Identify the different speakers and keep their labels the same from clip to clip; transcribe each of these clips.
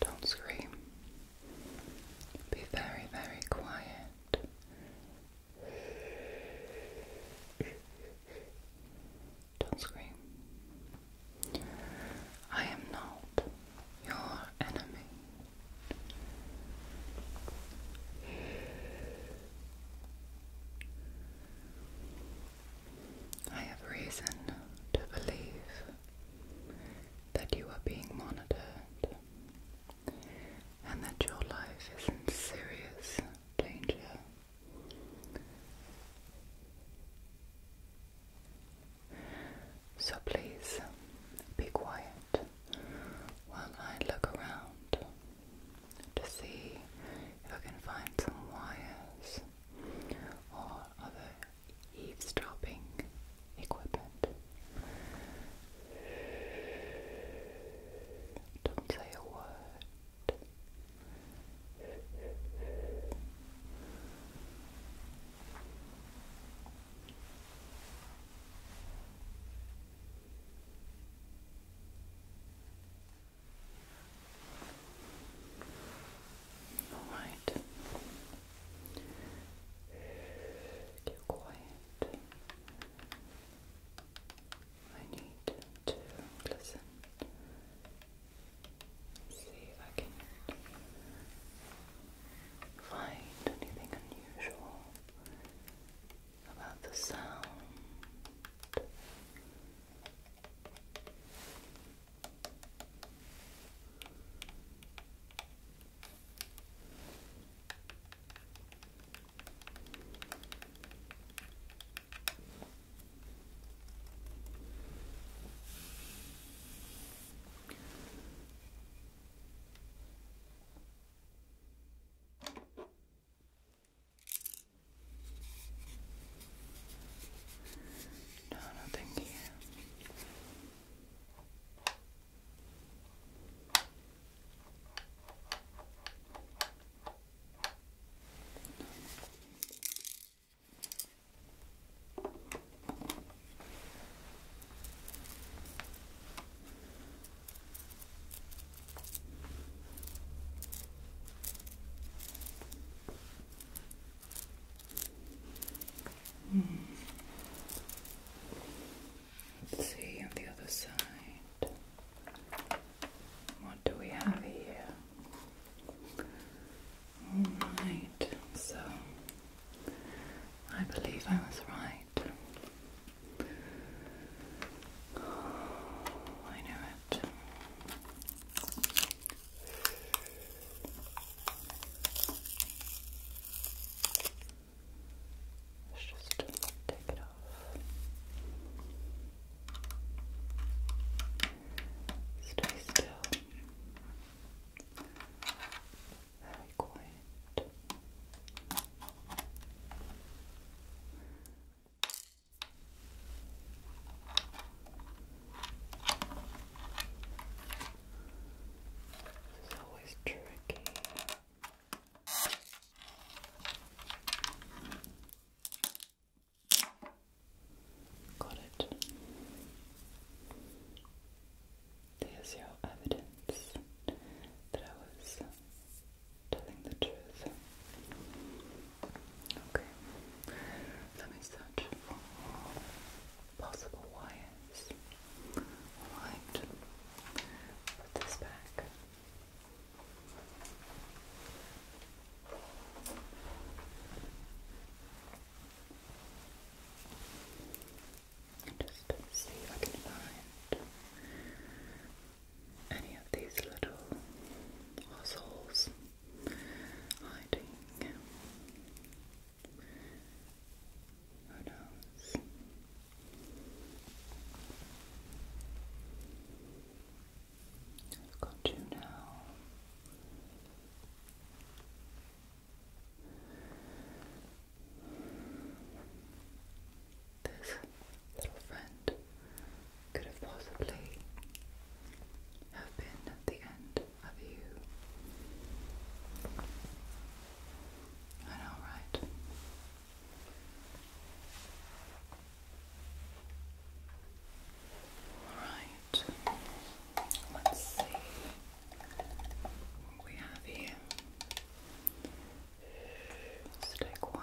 Speaker 1: Don't scream. Be very, very quiet. Don't scream. I am not your enemy. I have reason to believe that you are being monitored and that your life is in serious danger. So please be quiet while I look around to see if I can find some wires or other eavesdropping equipment. Don't say a word. All right. Keep quiet. I need to listen. See if I can find anything unusual about the sound. No, nothing here. Hmm. Let's see on the other side. What do we have here? All right, so I believe I was right it. Oh, I knew it. Let's just take it off. Stay still very quiet. This is always tricky. Got it. There's your evidence that I was telling the truth. Okay, let me search for possible wires. Alright, put this back just see if I can find any of these little assholes hiding. Who knows? I've now. This little friend could have possibly have been at the end of you. I Alright, let's see what we have here. Stay quiet.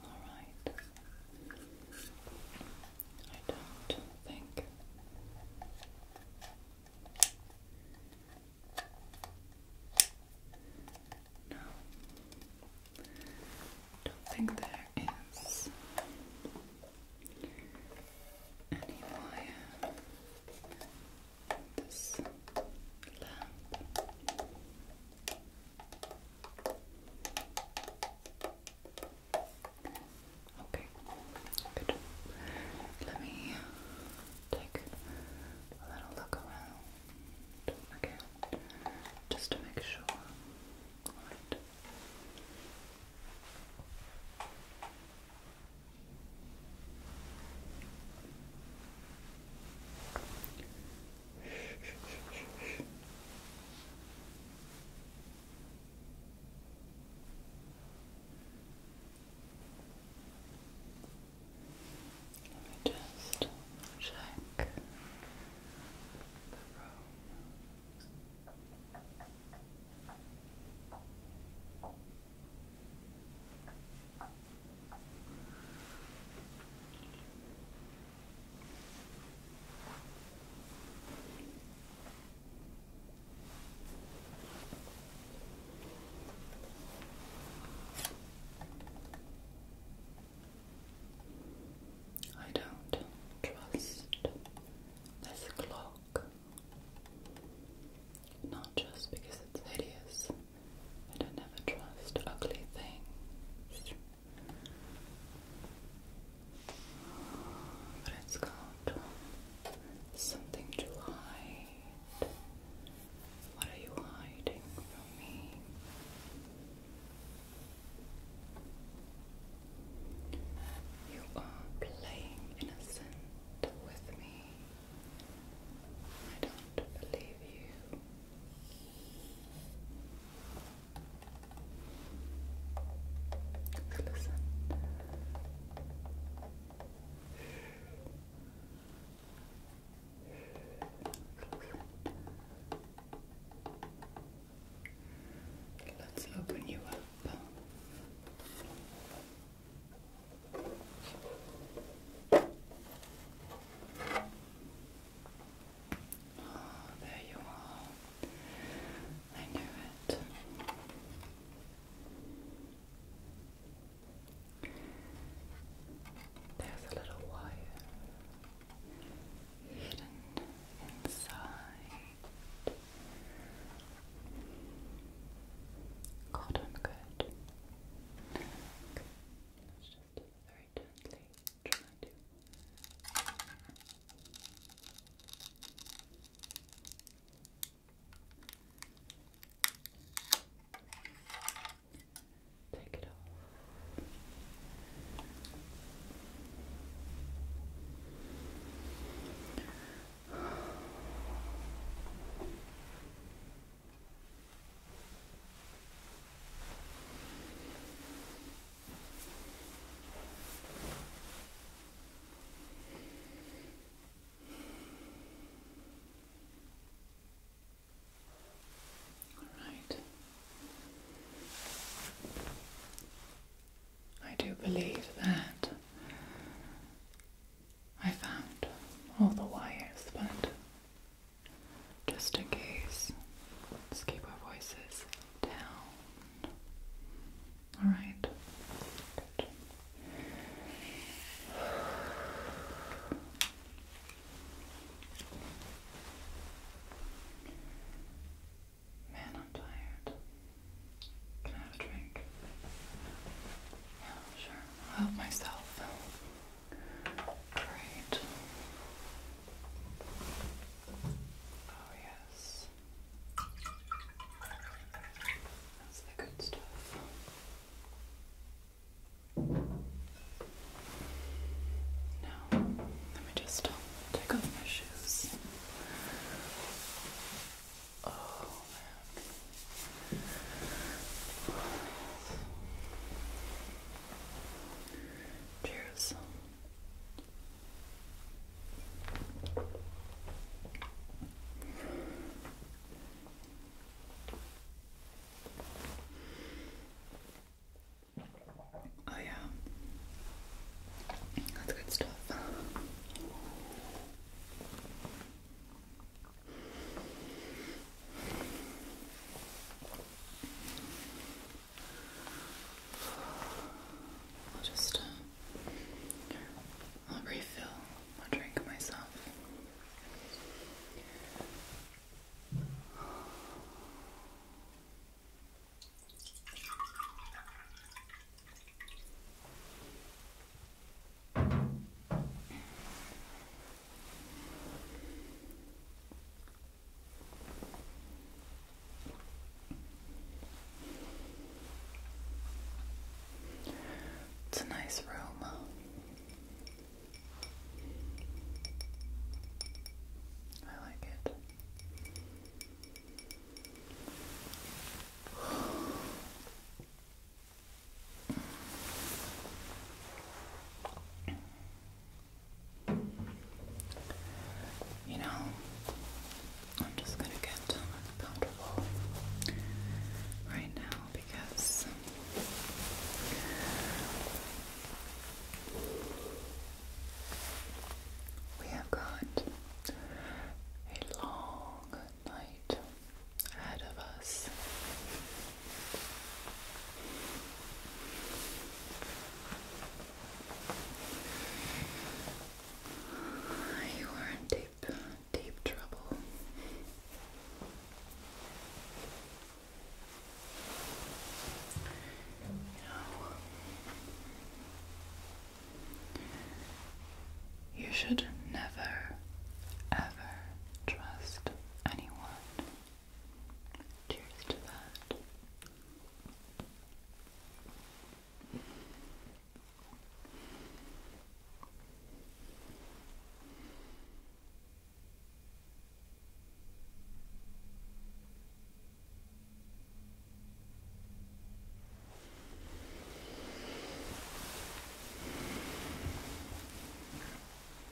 Speaker 1: All right. I don't think no. Don't think there is any wire this lamp. Okay, good. Let me take a little look around again just to make sure. Let me just check the room. I don't trust this clock. Not just because it's hideous. I do trust ugly things. But it's called something to hide. What are you hiding from me? You are playing innocent with me. I don't believe you. listen. Let's open you up there you are. I knew it. There's a little wire hidden inside. Cotton good. Okay. Let's just very gently try to take it off. All right. I do believe that I found all the wires, but just in case, let's keep our voices down. Alright. Man, I'm tired. Can I have a drink? Yeah, sure love myself. Great. Oh, yes. That's the good stuff. Now, let me just take off my shoes. Oh, Cheers. Oh yeah. That's good stuff. I'll just uh, I'll refill my drink myself. It's a nice room. I like it. You know, I'm just going to get uncomfortable right now because we have got a long night out of us. You are in deep, deep trouble. You you should never, ever trust anyone. Cheers to that.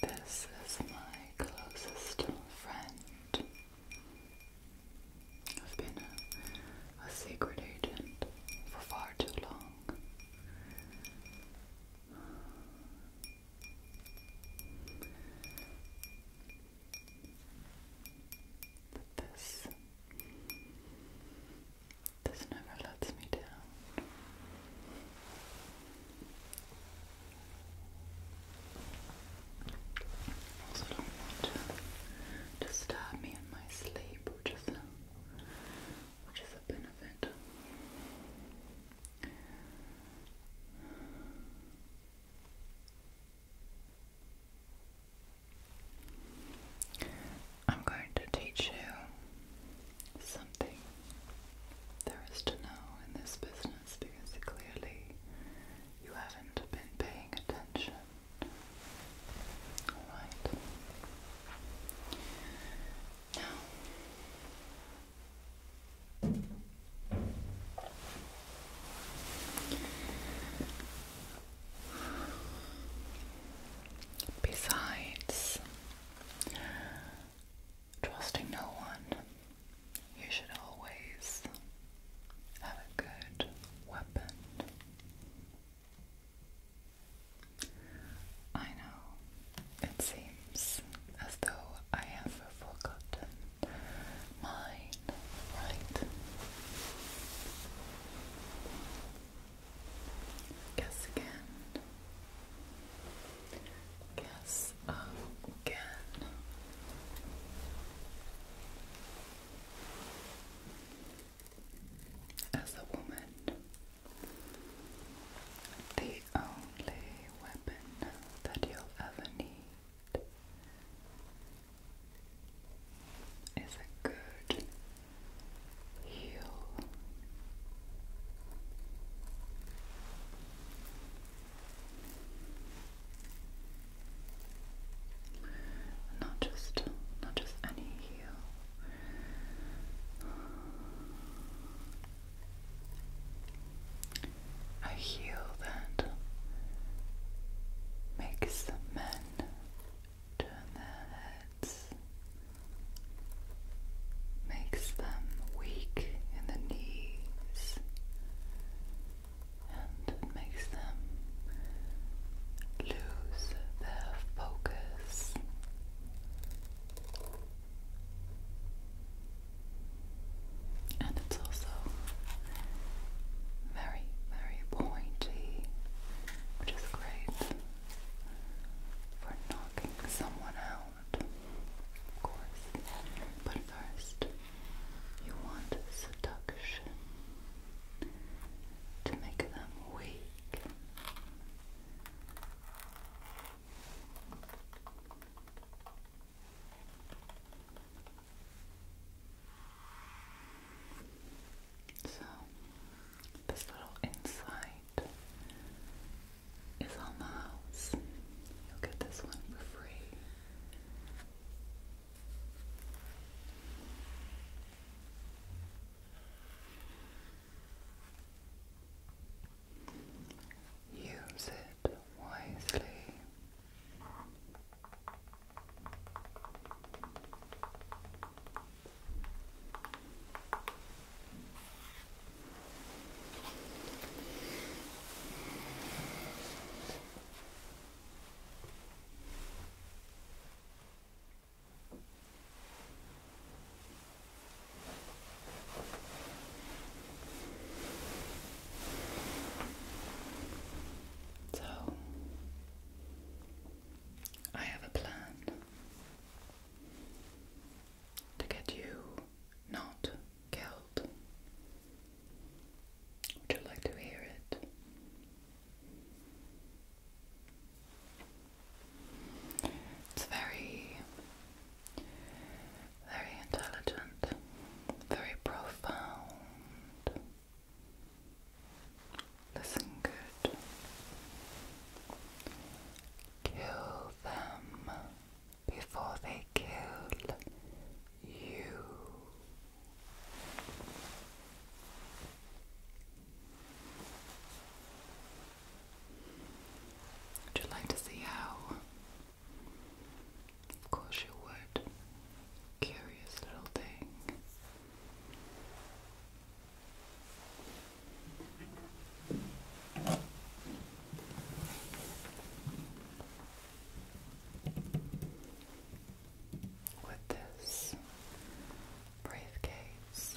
Speaker 1: This is my closest friend. I've been a, secret agent for far too long. But this, this never lets me down. Also don't want to disturb me in my sleep, which is which is a benefit. I'm going to teach you something there is to know in this business is because clearly you haven't been paying attention. Alright. Now, besides trusting no one you should always have a good weapon. I know it seems as though I have forgotten mine, right? Guess again. Guess this again. As a woman, the only weapon that you'll ever need is a good heel. Not just, not just any heel. A heel that makes men turn their heads, makes them weak in the knees, and it makes them lose their focus. And it's also very, very pointy, which is great for knocking someone out, of course. But first, you want seduction to make them weak. So, this little insight is on the house. You'll get this one for free. Use it wisely. So, I have a plan to get you not killed. Would you like to hear it? It's very, very intelligent, very profound. Listen good. Kill them before they kill you. Would you like to see how? Of course you would. Curious little thing with this briefcase.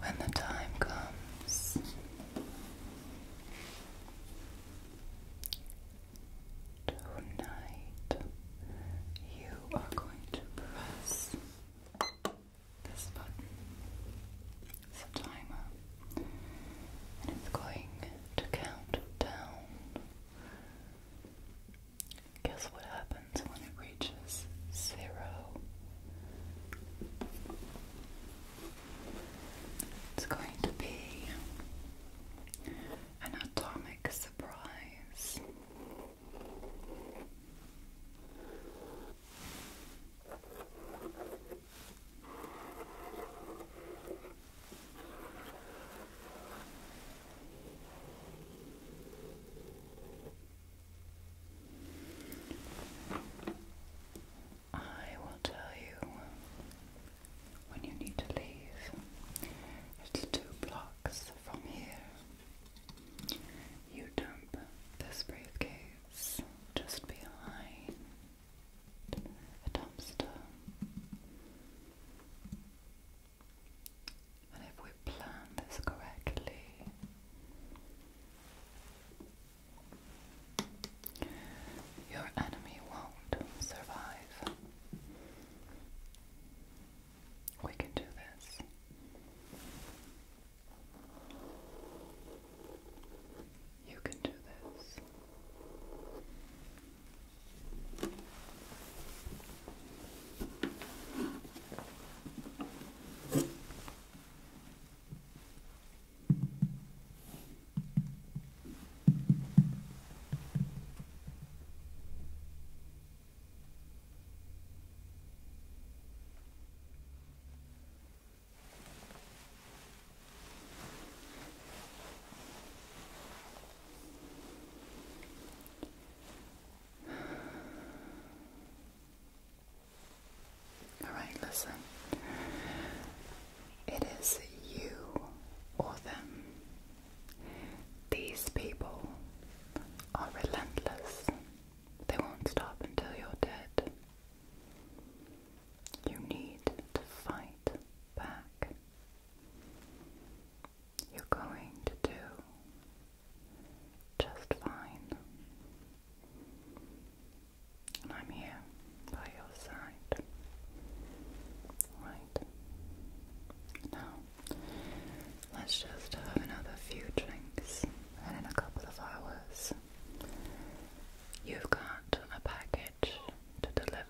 Speaker 1: When the time comes, tonight you are going to press this button is a timer and it's going to count down. Guess what happens when it reaches zero? It's going to be an atomic surprise. I will tell you when you need to leave. It's two blocks from here. You dump this briefcase just behind a dumpster. And if we plan this correctly, your enemy won't survive. We can do this. You can do this. All right, listen. It is you or them. These people are relentless they won't stop until you're dead. You need to fight back. You're going to do just fine. And I'm here by your side. Right. Now, let's just have another few drinks and in a couple of hours you've got a package to deliver.